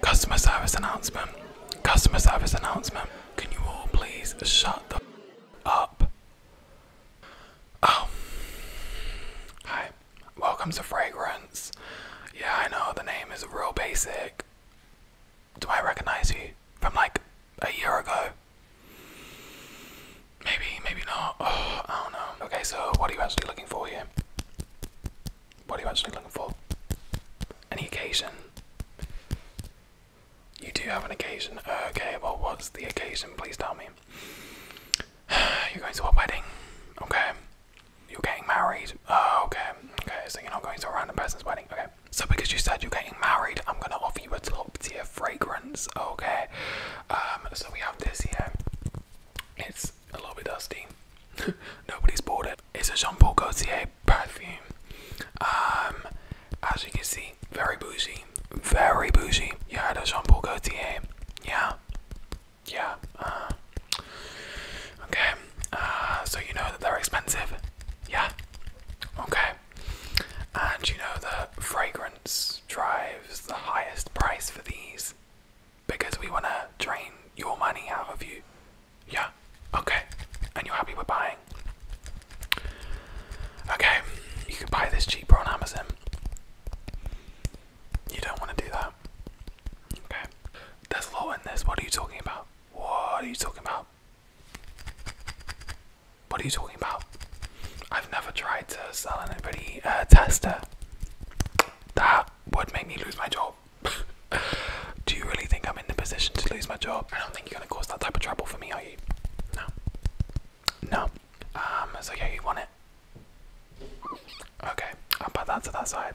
Customer service announcement. Customer service announcement. Can you all please shut the up? Oh. Hi. Welcome to Fragrance. Yeah, I know the name is real basic. Do I recognize you from like a year ago? Maybe, maybe not. I don't know. Okay, so what are you actually looking for here? What are you actually looking for? Any occasion? You do have an occasion. Uh, okay, well, what's the occasion? Please tell me. You're going to a wedding. Okay. You're getting married. Oh, okay. Okay, so you're not going to a random person's wedding. Okay. So because you said you're getting married, I'm gonna offer you a top tier fragrance. Okay. Um, so we have this here. It's a little bit dusty. Nobody's bought it. It's a Jean Paul Gaultier perfume. Um, as you can see, very bougie. Very bougie. You heard of Jean Paul Gaultier? Yeah. Yeah. Uh, okay. Uh, so you know that they're expensive. Yeah. Okay. And you know the fragrance drives the highest price for these because we want to drain your money out of you. Yeah, okay. And you're happy with buying? Okay, you can buy this cheaper on Amazon. You don't want to do that. Okay. There's a lot in this. What are you talking about? What are you talking about? What are you talking about? I've never tried to sell anybody a tester. That would make me lose my job. Do you really think I'm in the position to lose my job? I don't think you're gonna cause that type of trouble for me, are you? No. No. Um, so yeah, you want it? Okay, I'll put that to that side.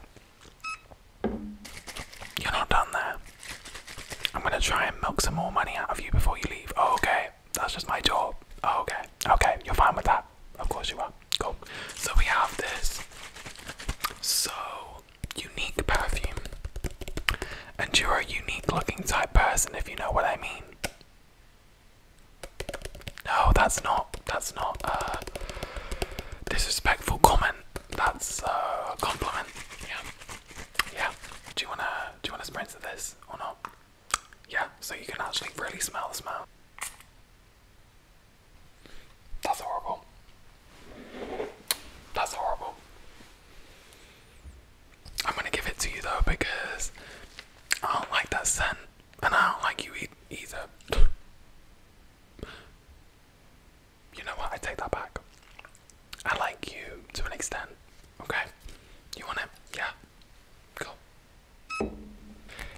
You're not done there. I'm gonna try and milk some more money out of you before you leave. Oh, okay that's just my job. Oh, okay, okay, you're fine with that. Of course you are. Cool. So we have this so unique perfume. And you're a unique looking type person if you know what I mean. No, that's not that's not a disrespectful comment. That's a compliment. Yeah. Yeah. Do you wanna do you wanna spritz this or not? Yeah, so you can actually really smell the smell. That's horrible. That's horrible. I'm gonna give it to you though because I don't like that scent and I don't like you either. you know what? I take that back. I like you to an extent, Okay. You want it? Yeah. Cool.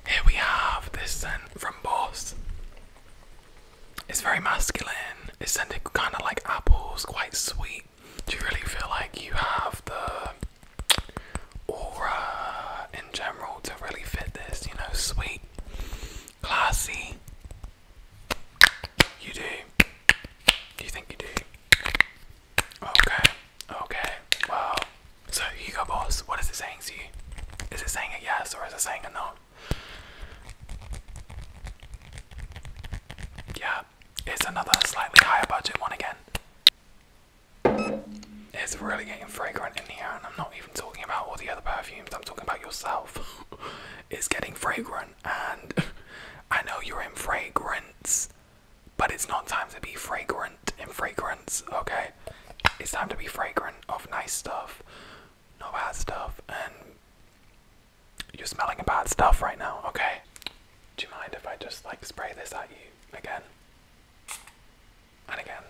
Here we have this scent from Boss. It's very masculine. It's scented kind of like apples, quite sweet. Do you really feel like you have the aura in general to really fit this? You know, sweet, classy. You Do you think you do? Okay. Okay, well, so Hugo Boss, what is it saying to you? Is it saying a yes or is it saying a no? Yeah, it's another slightly higher budget one again. It's really getting fragrant in here, and I'm not even talking about all the other perfumes, I'm talking about yourself. it's getting fragrant, and I know you're in fragrance. But it's not time to be fragrant in fragrance, okay? It's time to be fragrant of nice stuff, no bad stuff, and you're smelling bad stuff right now, okay? Do you mind if I just like spray this at you again? And again.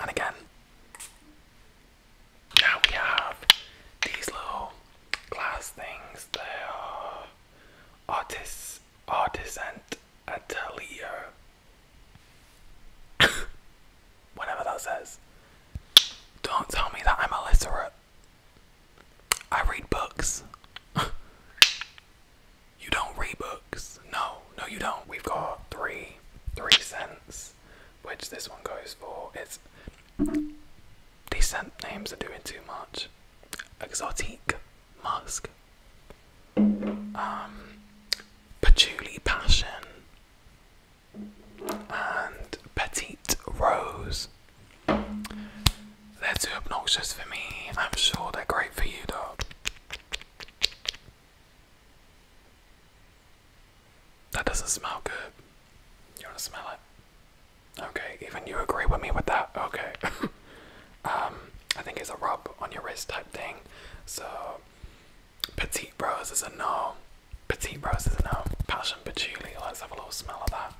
And again. Now we have these little glass things. They are artists, artisan atelier. Whatever that says. Don't tell me that I'm a illiterate. I read books. you don't read books. No, no, you don't. We've got three, three cents, which this one goes for. It's decent names are doing too much. Exotique, musk. Um, patchouli passion and petite rose. They're too obnoxious for me. I'm sure they're great for you, though. That doesn't smell good. You want to smell it? Okay, even you agree with me with that? Okay. um, I think it's a rub on your wrist type thing. So, petite roses is no. Petite roses is no. Passion patchouli. Let's have a little smell of that.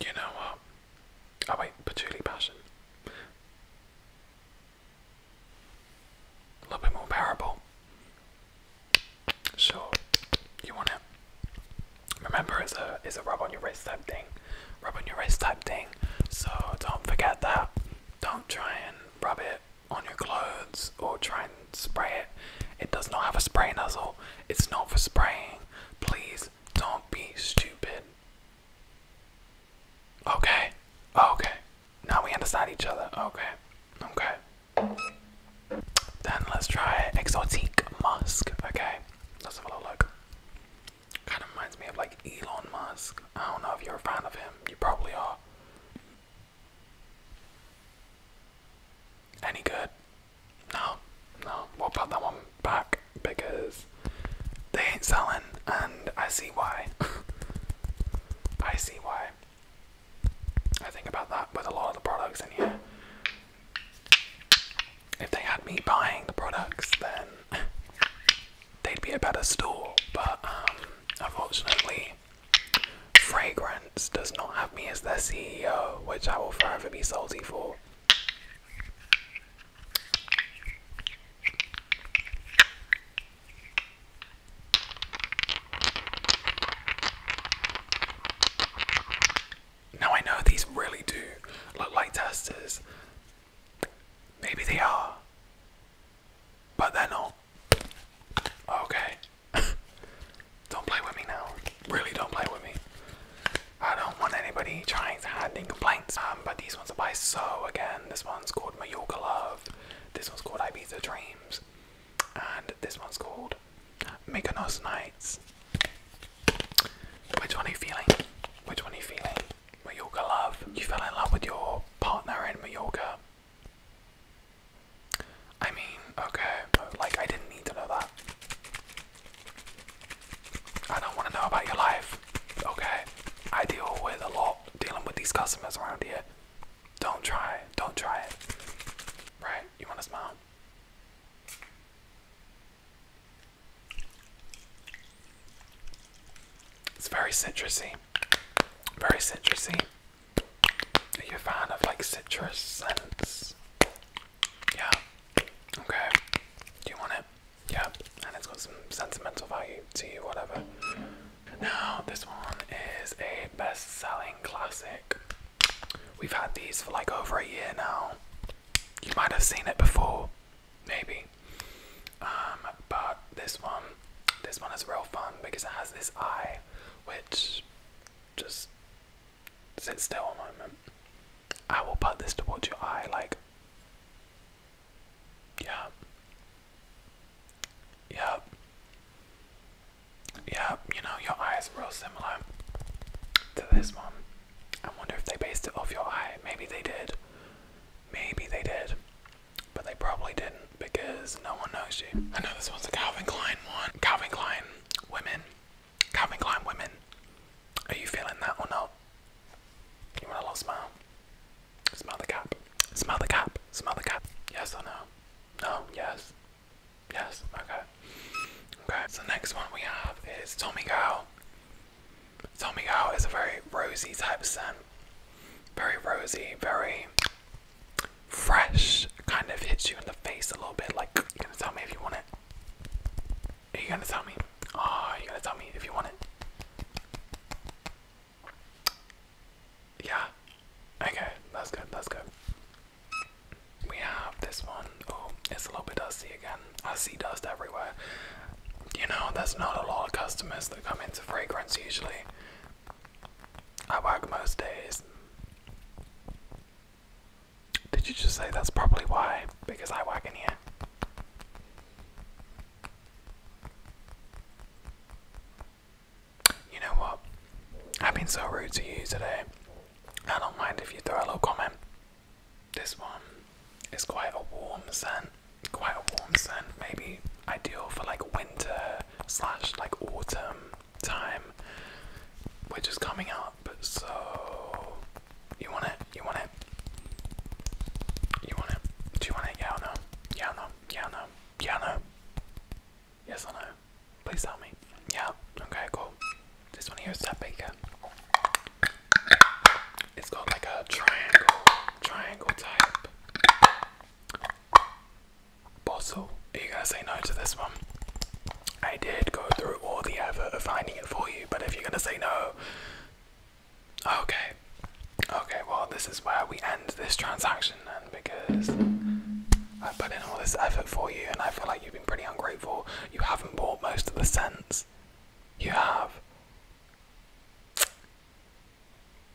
You know what? Oh wait, patchouli passion a little bit more bearable. So you want to remember it's a it's a rub on your wrist type thing, rub on your wrist type thing. So don't forget that. Don't try and rub it on your clothes or try and spray it. It does not have a spray nozzle. It's not for spraying. Please don't be stupid. Okay. Okay. Now we understand each other. Okay. Okay. Then let's try exotique musk. Okay. Let's have a little look. Kind of reminds me of like Elon Musk. I don't know if you're a fan of him. You probably are. Any good? No, no. We'll put that one back because they ain't selling, and I see why. I see why. I think about that with a lot of the products in here. If they had me buying the products, then they'd be a better store. But um, unfortunately, Fragrance does not have me as their CEO, which I will forever be salty for. Now I know these really do look like testers. Maybe they are, but they're not. Okay. don't play with me now. Really don't play with me. I don't want anybody trying to hand any complaints. Um, but these ones are by So again. This one's called Major Love. This one's called Ibiza Dreams, and this one's called Mykonos Nights. Which one are you feeling? Which one are you feeling? Mallorca love. You fell in love with your partner in Mallorca. I mean, okay, like I didn't need to know that. I don't want to know about your life. Okay, I deal with a lot dealing with these customers around here. Don't try it. Don't try it. Right? You want to smile? It's very citrusy. Very citrusy. Are you a fan of like citrus scents? Yeah. Okay. Do you want it? Yeah. And it's got some sentimental value to you, whatever. Now, this one is a best selling classic. We've had these for like over a year now. You might have seen it before, maybe. Um, but this one, this one is real fun because it has this eye which just sits still a moment. I will put this towards your eye like yeah. Yep. Yep. You know, your eyes are real similar to this one. I wonder if they based it off your eye. Maybe they did. Maybe they did. But they probably didn't because no one knows you. I know this one's a Calvin Klein one. Calvin Klein women. Calvin Klein women. Are you feeling that or not? You want a little smile? Smell the cop. Smell the cop. Smell the cop. Yes or no? No. Yes. Yes. Okay. Okay. So next one we have is Tommy Girl. Tommy Girl is a very rosy type of scent. Very rosy. Very fresh. Kind of hits you in the face a little bit. Like, you gonna tell me if you want it? Are you gonna tell me? Oh, are you gonna tell me if you want it? Yeah. Okay, that's good, that's good. We have this one. Oh, it's a little bit dusty again. I see dust everywhere. You know, there's not a lot of customers that come into fragrance usually. I work most days. Did you just say that's probably why? Because I work in here. You know what? I've been so rude to you today. I don't mind if you throw a little comment. This one is quite a warm scent. Quite a warm scent. Maybe ideal for like winter slash like autumn time. Which is coming up, so you want it? You want it? You want it? Do you want it? Yeah no? Yeah no? Yeah no, yeah no. Yes or no? Please tell me. Yeah, okay, cool. This one here is that baker. It's got like a triangle, triangle type bottle. Are you gonna say no to this one? I did go through all the effort of finding it for you, but if you're gonna say no, Okay. Okay, well, this is where we end this transaction and because I put in all this effort for you and I feel like you've been pretty ungrateful. You haven't bought most of the scents. You have.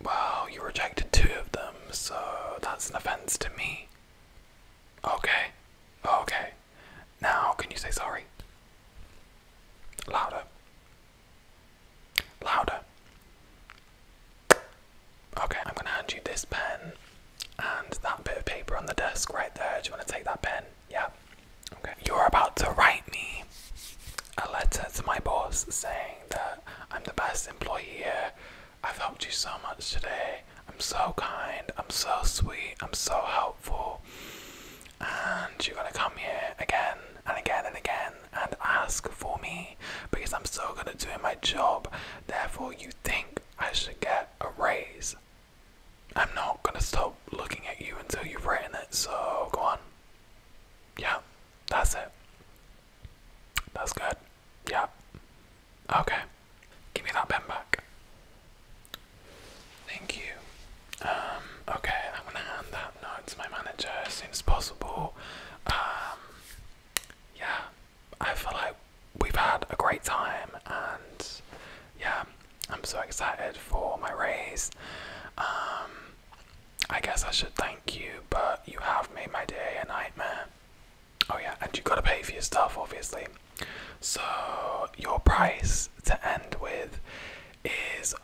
Well, you rejected two of them, so that's an offense to me. Okay. Okay. Now, can you say sorry? Louder. Louder. Okay, I'm gonna hand you this pen and that bit of paper on the desk right there. Do you wanna take that pen? Yeah. Okay. You're about to write me a letter to my boss saying that I'm the best employee here. I've helped you so much today. I'm so kind. I'm so sweet. I'm so helpful. And you're gonna come here again and again and again and ask for me because I'm still gonna doing my job. Therefore, you think I should get a raise. I'm not gonna stop looking at you until you've written it, so go on. Yeah, that's it. That's good. Yeah. Okay. Give me that pen back. Thank you. Um, okay, I'm gonna hand that out notes my manager as soon as possible. Um, yeah, I feel like we've had a great time, and yeah, I'm so excited for my raise. Um, I guess I should thank you, but you have made my day a nightmare. Oh, yeah, and you gotta pay for your stuff, obviously. So, your price to end with is